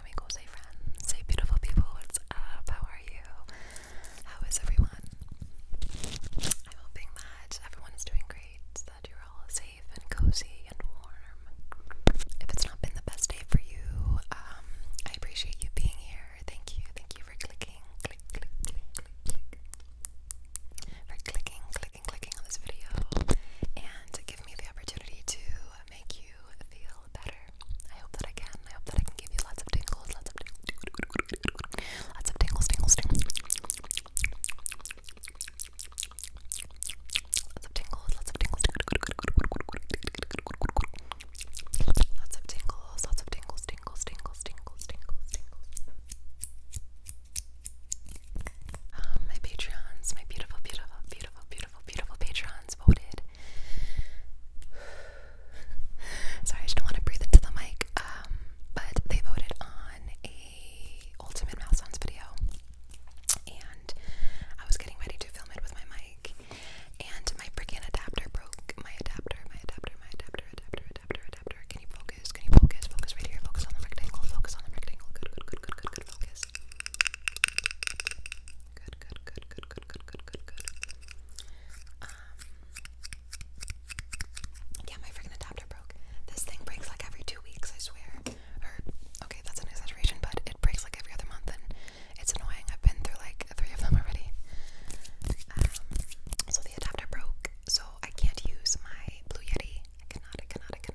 Not equals friends. Say beautiful people, what's up? How are you? How is everyone? I'm hoping that everyone is doing great, that you're all safe and cozy and warm. If it's not been the best day for you, um, I appreciate you being here. Thank you. Thank you for clicking. Click, click, click, click, click. For clicking, clicking, clicking on this video and give me the opportunity to make you feel better. I hope that I can. I hope that I can give you lots of tingles, lots of tingles, lots of tingles, tingles, tingles. Lots of tingles, lots of tingles, lots of tingles, lots of tingles, tingles, tingles, tingles, tingles, tingles. Um, my Patreons, my beautiful, beautiful, beautiful, beautiful beautiful, patrons voted. Sorry, I just not want to breathe into the mic. Um, but they voted on a ultimate mouth sounds video, and I was getting ready to film it with my mic, and my freaking adapter broke. My adapter, my adapter, my adapter, adapter, adapter, adapter. Can you focus? Can you focus? Focus right here. Focus on the rectangle. Focus on the rectangle. Good, good, good, good, good. Focus. Good, good, good, good, good, good, good, good, um, yeah, my freaking adapter broke. This thing breaks like every two weeks, I swear. okay, that's an exaggeration, but it breaks like every other month, and it's annoying. I've been through like three of them already. Um, so the adapter broke, so I can't use my Blue Yeti. I cannot, I cannot.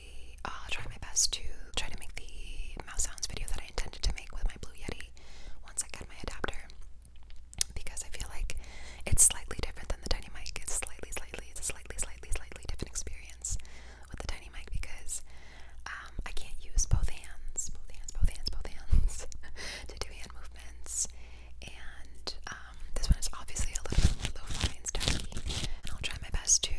really uh, try my best to try to make the mouse sounds video that I intended to make with my Blue Yeti once I get my adapter because I feel like it's slightly different than the Tiny Mic. It's slightly, slightly, it's a slightly, slightly, slightly different experience with the Tiny Mic because um, I can't use both hands, both hands, both hands, both hands to do hand movements and um, this one is obviously a little bit more lo-fi and I'll try my best to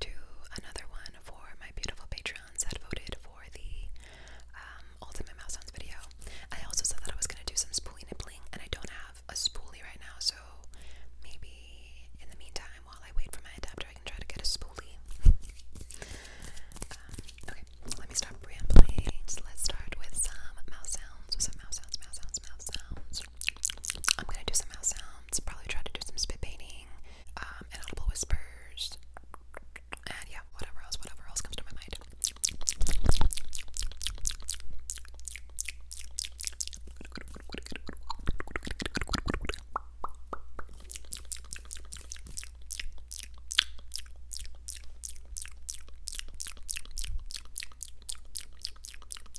do another one for my beautiful patrons that voted for the um, ultimate mouse sounds video. I also said that I was gonna do some spoolie nibbling, and I don't have a spoolie right now, so maybe in the meantime, while I wait for my adapter, I can try to get a spoolie. Um, okay, let me stop rambling. let's start with some mouse sounds. some mouse sounds, mouse sounds, mouse sounds. I'm gonna do some mouth sounds, probably try to do some spit painting, um, whispers, and yeah, whatever else, whatever else comes to my mind.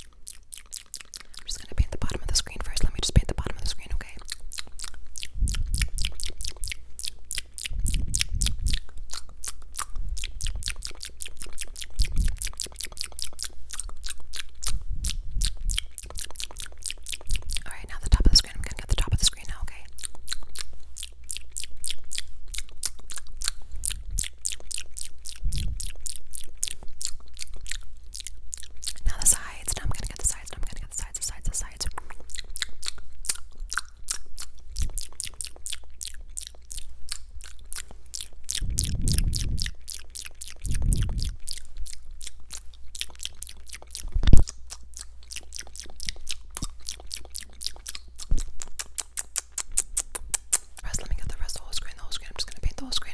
I'm just gonna paint the bottom of the screen first. Let me just paint the bottom of the screen, okay? Alright, now the top of the screen. I'm gonna get the top of the screen now, okay? Now the sides. Now I'm gonna get the sides. Now I'm gonna get the sides. The sides. The sides. First, let me get the rest of the whole screen, the whole screen. I'm just gonna paint the whole screen.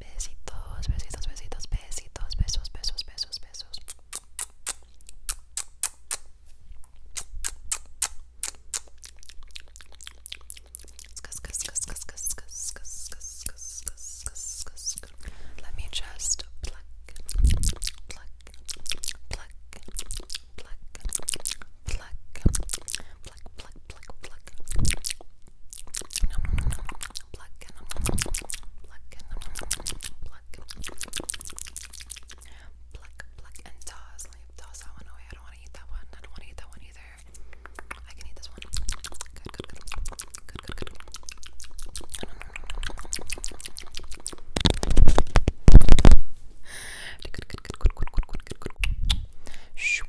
Besitos, besitos, besitos, besitos, besos, besos, besos, besos. Let me just pluck, pluck, pluck, pluck, pluck, pluck, pluck, pluck, pluck, pluck. Nom, nom, nom, nom, pluck, nom, nom, nom, pluck, nom, nom, nom, pluck. Pluck, pluck, and toss. Leave, toss that one away. I don't want to eat that one. I don't want to eat that one either. I can eat this one. Good, good, good. Good, good, good. Nom, nom, nom, nom, nom. Shoop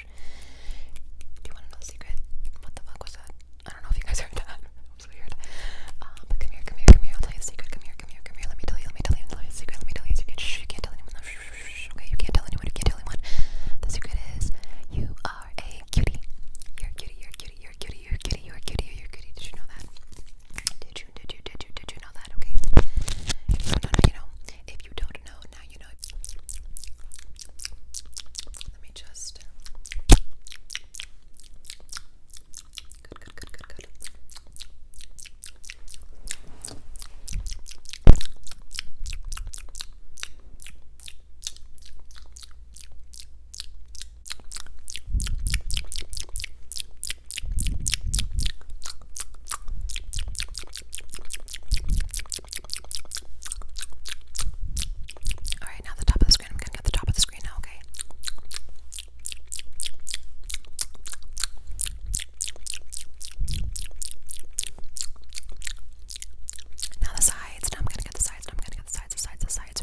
Do you want to know the secret? What the fuck was that? I don't know if you guys heard that. weird. Uh, but come here, come here, come here. I'll tell you the secret. Come here, come here, come here. Let me tell you, let me tell you, let me tell you the secret. Let me tell you the secret. you can't tell anyone. okay, you can't tell anyone. You can't tell anyone. The secret is you are a cutie. You're a cutie, you're a cutie, you're a cutie, you're a cutie, you're a cutie, you're a cutie. Did you know that? Did you, did you, did you, did you know that? Okay. If you don't know. If you don't know, now you know. Let me just. Good, good, good, good, good. Alright, now the top of the screen. I'm gonna get the top of the screen now, okay? Now the sides. Now I'm gonna get the sides. Now I'm gonna get the sides, the sides, the sides.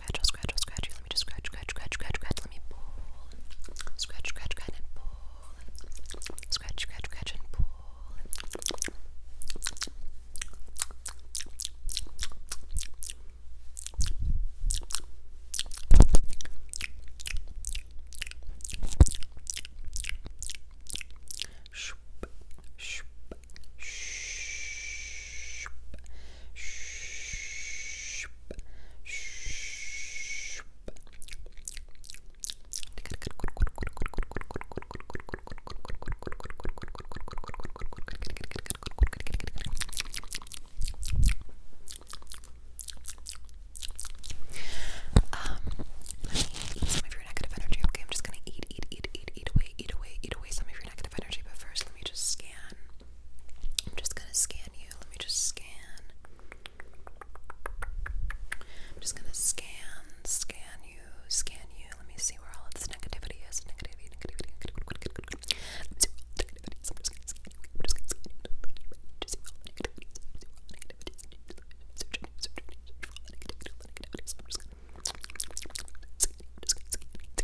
scratch, I'll scratch, I'll scratch you. Let me just scratch, scratch, scratch, scratch, scratch. Let me pull. Scratch, scratch, scratch, and pull. Scratch, scratch, scratch, and pull. Shoop, shoop, shoop, shoop, um, let me eat some of your negative energy. Okay, I'm just gonna eat, eat, eat, eat, eat away, eat away, eat away some of your negative energy. But first, let me just scan I'm just gonna scan you. Let me just scan. I'm just gonna scan, scan you, scan you. Let me see where all of this negativity is. Negativity, negativity, negativity. So I'm just gonna scan you. I'm just gonna scan you. Just see all the negativity. Search, search, search, search for all the negativity. Negativity. So I'm just gonna. Just gonna scan you. Just gonna scan you.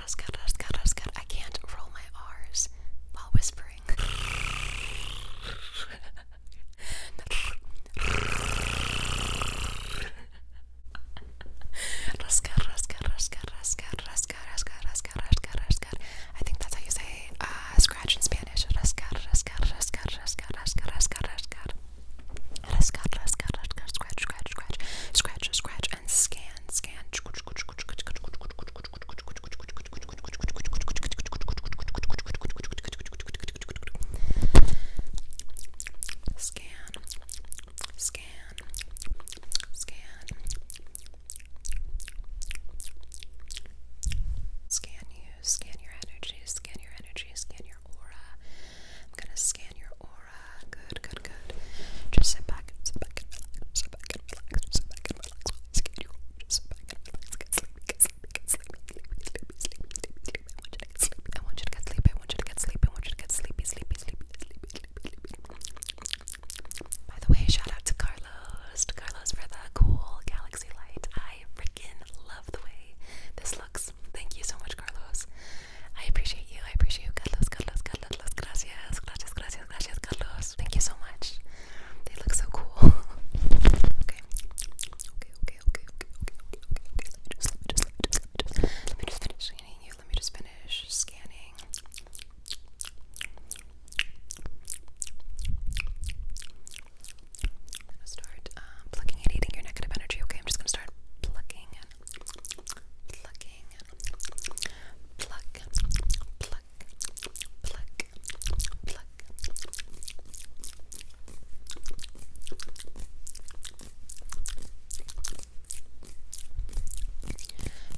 Rascar, rascar, rascar. I can't roll my R's while whispering. rascar, rascar, rascar, rascar, rascar, rascar, rascar, rascar, rascar. I think that's how you say uh, scratch in Spanish. Rascar, rascar, rascar, rascar, rascar, rascar, rascar. Rascar, rascar, rascar, scratch, scratch, scratch, scratch, scratch, and scan scan. Scan, scan, scan, scan you, scan your energy, scan your energy, scan your aura. I'm gonna scan your aura. Good, good, good. Just sit back, sit back and relax, sit back and relax, just sit back and relax while I scan you over. Just sit back and relax, get sleepy, get sleepy, get sleepy, sleepy, sleepy, sleepy, sleepy. I want you to get sleepy, I want you to get sleepy, I want you to get sleepy, sleepy, sleepy, sleepy, sleepy, sleepy. By the way, shout out to Carlos, to Carlos for the cool galaxy light. I freaking love the way this looks. Thank you so much, Carlos. I appreciate you. I appreciate you, Carlos, Carlos, Carlos, Carlos. Gracias, gracias, gracias, gracias, Carlos. Thank you so much. They look so cool. okay. Okay, okay, okay, okay, okay, okay, okay. Let me just, let me just, finish scanning you. Let me just finish scanning. I'm gonna start um, plucking and eating your negative energy. Okay, I'm just gonna start plucking plucking, pluck,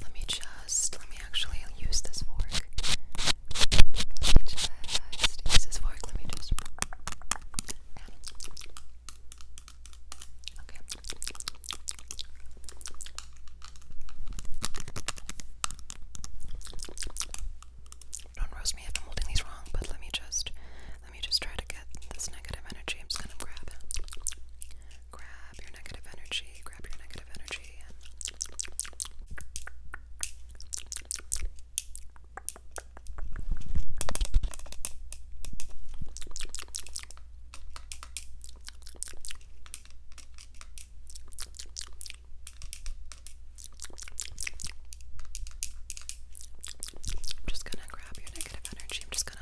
Let me just, let me actually use this fork. just use this fork. Let me just. Don't roast me if I'm holding these wrong, but let me just let me just try to get this negative energy. I'm just gonna grab grab your negative energy, grab your negative energy I'm just gonna grab your negative energy. I'm just gonna.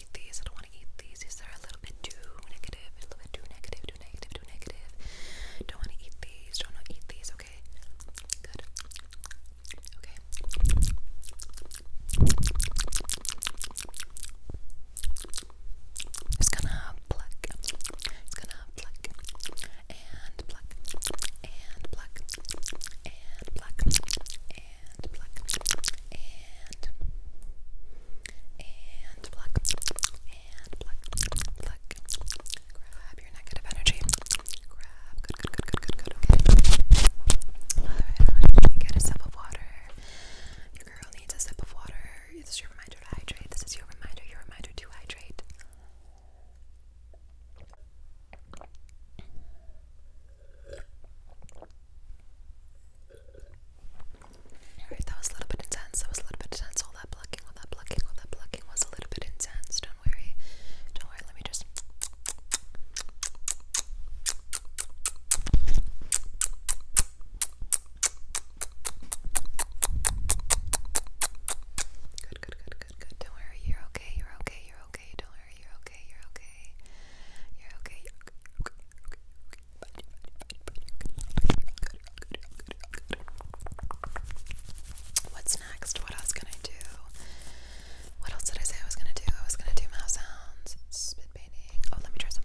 these. I don't want to eat these. These are a little bit too negative. A little bit too negative. Too negative. Too negative. Don't want to eat these. Don't want to eat these. Okay. Good. Okay. It's gonna pluck. It's gonna pluck and pluck and pluck and pluck and black, and, and and Grab your negative energy. Grab, good, good, good, good, good, good, okay. alright, let me get a sip of water. Your girl needs a sip of water. This is your reminder to hydrate. This is your reminder, your reminder to hydrate. Alright, that was a little bit intense. That was a little bit intense. All that plucking, all that plucking, all that plucking was a little bit intense. Don't worry. Don't worry. Let me just. Good, good, good, good, good. Don't worry. You're okay. You're okay. You're okay. Don't worry. You're okay. You're okay. You're okay. You're okay. You're okay. What's next? What else can I do? What else did I say I was gonna do? I was gonna do mouse sounds, spit painting. Oh, let me try some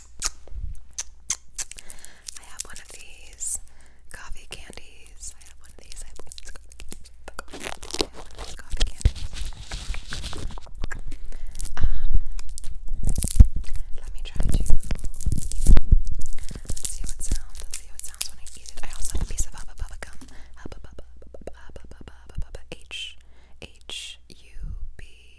I have one of these coffee candies. I have one of these. let me try to see how it sounds. see how it sounds when I eat it. I also have a piece of Hubba Bubba gum. H H U B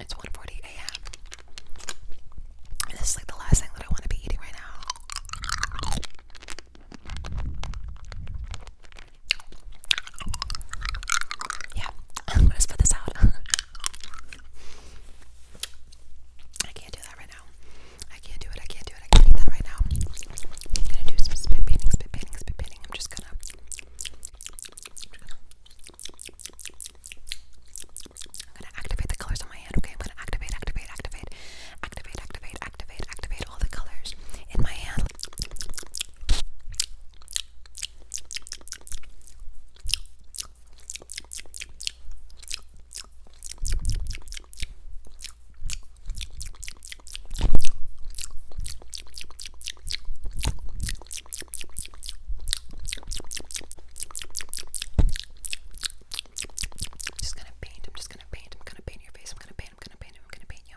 It's one forty a.m. this is like the last thing that I want to be eating right now. Yeah, I'm gonna spit this out. I can't do that right now. I can't do it. I can't do it. I can't do that right now. I'm gonna do spit painting, spit painting, spit painting. I'm just gonna I'm gonna activate the colors on my hand, okay? I'm gonna activate, activate, activate, activate, activate, activate, activate all the colors in my hand. I'm just gonna paint. I'm just gonna paint. I'm gonna paint your face. I'm gonna paint. I'm gonna paint. I'm gonna paint you.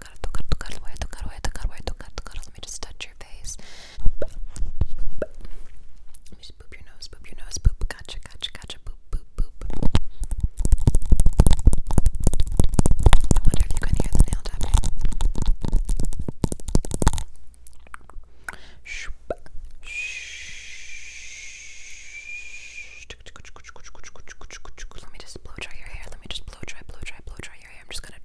Let me just touch your face. Boop, boop. Let boop your nose, boop your nose, boop. Gotcha, gotcha, gotcha, boop, boop, boop. I wonder if you can hear the nail tapping. Let me just blow dry your hair. Let me just blow dry, blow dry, blow dry right here. I'm just gonna.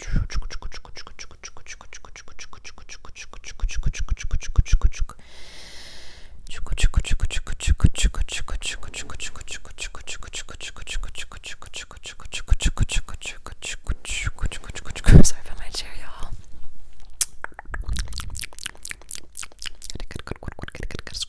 Sorry for my chair, y'all.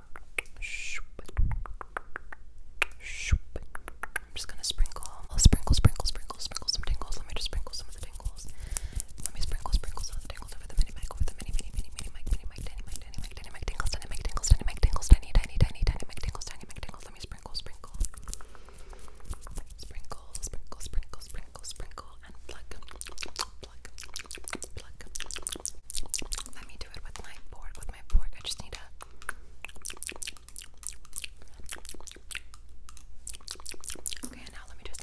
I'm just gonna sprinkle. I'll sprinkle, sprinkle, sprinkle, sprinkle some tingles. Let me just sprinkle some of the tingles. Let me sprinkle, sprinkle some of the tingles over the mini mic, over the mini, mini, mini, mini mic, mini mic, tiny mic, tiny mic, tiny mic, tingles, tiny mic, tingles, tiny mic, tingles, tiny, tiny, tiny, tiny mic, tingles, tiny mic, tingles. Let me sprinkle, sprinkle, sprinkle, sprinkle, sprinkle, sprinkle, sprinkle, and pluck pluck, pluck. Let me do it with my fork. With my fork, I just need a. Okay, now let me just.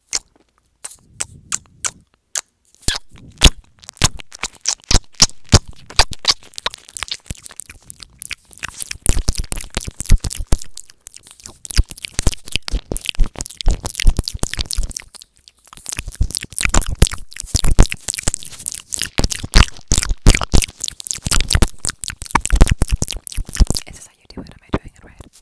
Is this how you do it? Am I doing it right?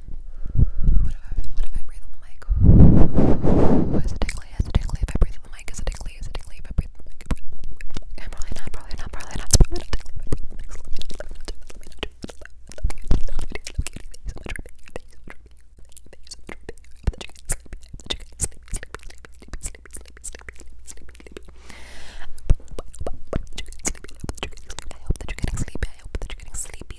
what if what if I breathe on the mic? is it tickly? Is it tickly? If I breathe on the mic, is it tickly? Is it tickly? If I breathe on the mic, I'm probably not, probably not, probably not, I hope that you're getting sleepy. I hope that you're getting sleepy,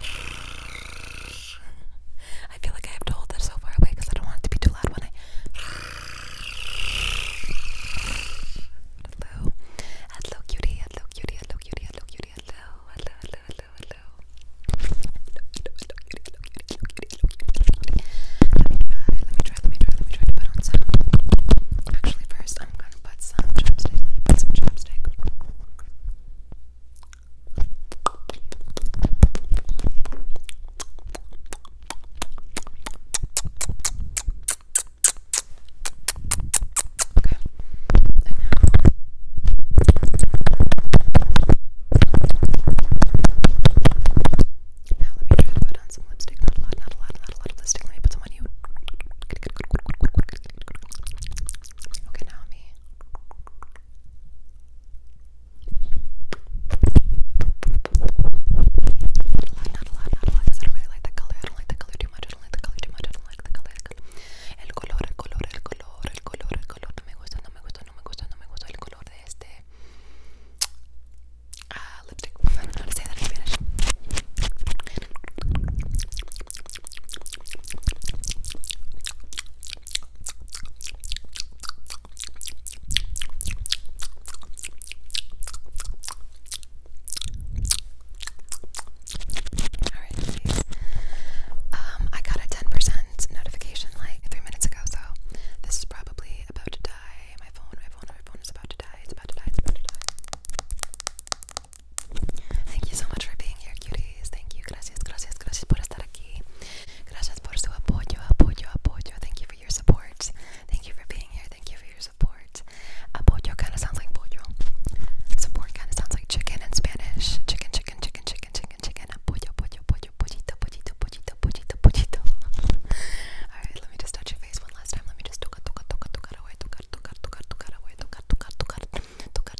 I feel like I have to hold that so far away because I don't want it to be too loud when I. Hello. Hello, cutie. Hello, cutie. Hello, cutie. Hello, cutie. Hello. Hello, hello, hello, hello. Let me try, let me try, let me try, let me try to put on sound. Actually, first, I'm gonna want put some chapstick. put some chapstick. Okay. And now now let me try to put on some lipstick. Not a lot, not a lot, not a lot of lipstick. Let me put some on you. Okay, now me. Not a lot, not a lot, not a lot, because I don't really like that color. I don't like the color too much. I don't like the color too much. I don't like the color. The color. El color, el color, el color, el color, el color. No me gusta, no me gusta, no me gusta, no me gusta el color de este. Uh, lipstick. I don't know how to say that in Spanish. Alright, please. Um, I got a 10% notification like three minutes ago, so this is probably about to die. My phone, my phone, my phone is about to die. It's about to die, it's about to die. Thank you so much for being here, cuties. Thank you. Gracias, gracias, gracias por estar aquí. Gracias por su apoyo, apoyo, apoyo. Thank you for your support. Thank you for being here. Thank you for your support. Apoyo kind of sounds like pollo. Support kind of sounds like chicken in Spanish. Chicken, chicken, chicken, chicken, chicken, chicken. Apoyo, pollo, pollo, pollito, pollito, pollito, pollito, pollito. All right, let me just touch your face one last time. Let me just toca, toca, toca, toca, toca, toca, tocar, tocar, tocar, tocar, voy a tocar, tocar, tocar, tocar,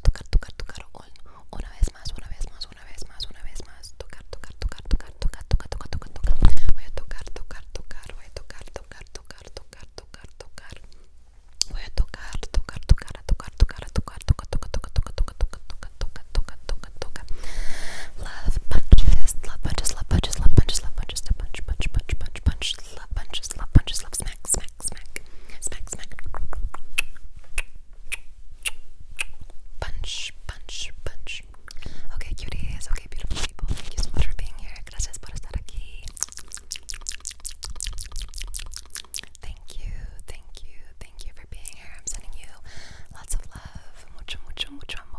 tocar, tocar, tocar, una vez más, una vez más, una vez más, una vez más, tocar, tocar, tocar, tocar, tocar, tocar, tocar, tocar, voy a tocar, tocar, tocar, voy a tocar, tocar, tocar, tocar, tocar, tocar, voy a tocar, tocar, tocar, a tocar, tocar, a tocar, tocar, tocar, tocar, tocar, tocar, tocar, tocar, tocar, tocar, tocar, tocar, love punches, love punches, love punches, love punches, love punches, punch, punch, punch, punch, punch love punches, love punches, love smack, smack, smack, smack, smack. Punch, punch, punch. Okay, cuties. Okay, beautiful people. Thank you so much for being here. Gracias por estar aquí. Thank you, thank you, thank you for being here. I'm sending you lots of love. Mucho, mucho, mucho amor.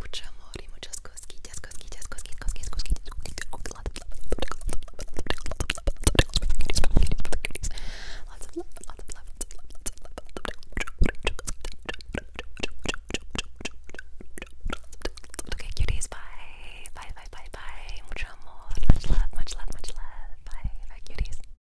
Mucho amor y muchas cosquillas, cosquillas, cosquillas, cosquillas, cosquillas. Lots of love, lots of love, lots of love, lots of love, lots of Okay, cuties, bye. Bye, bye, bye, bye. Mucho amor. Much love, much love, much love. Bye, bye, cuties.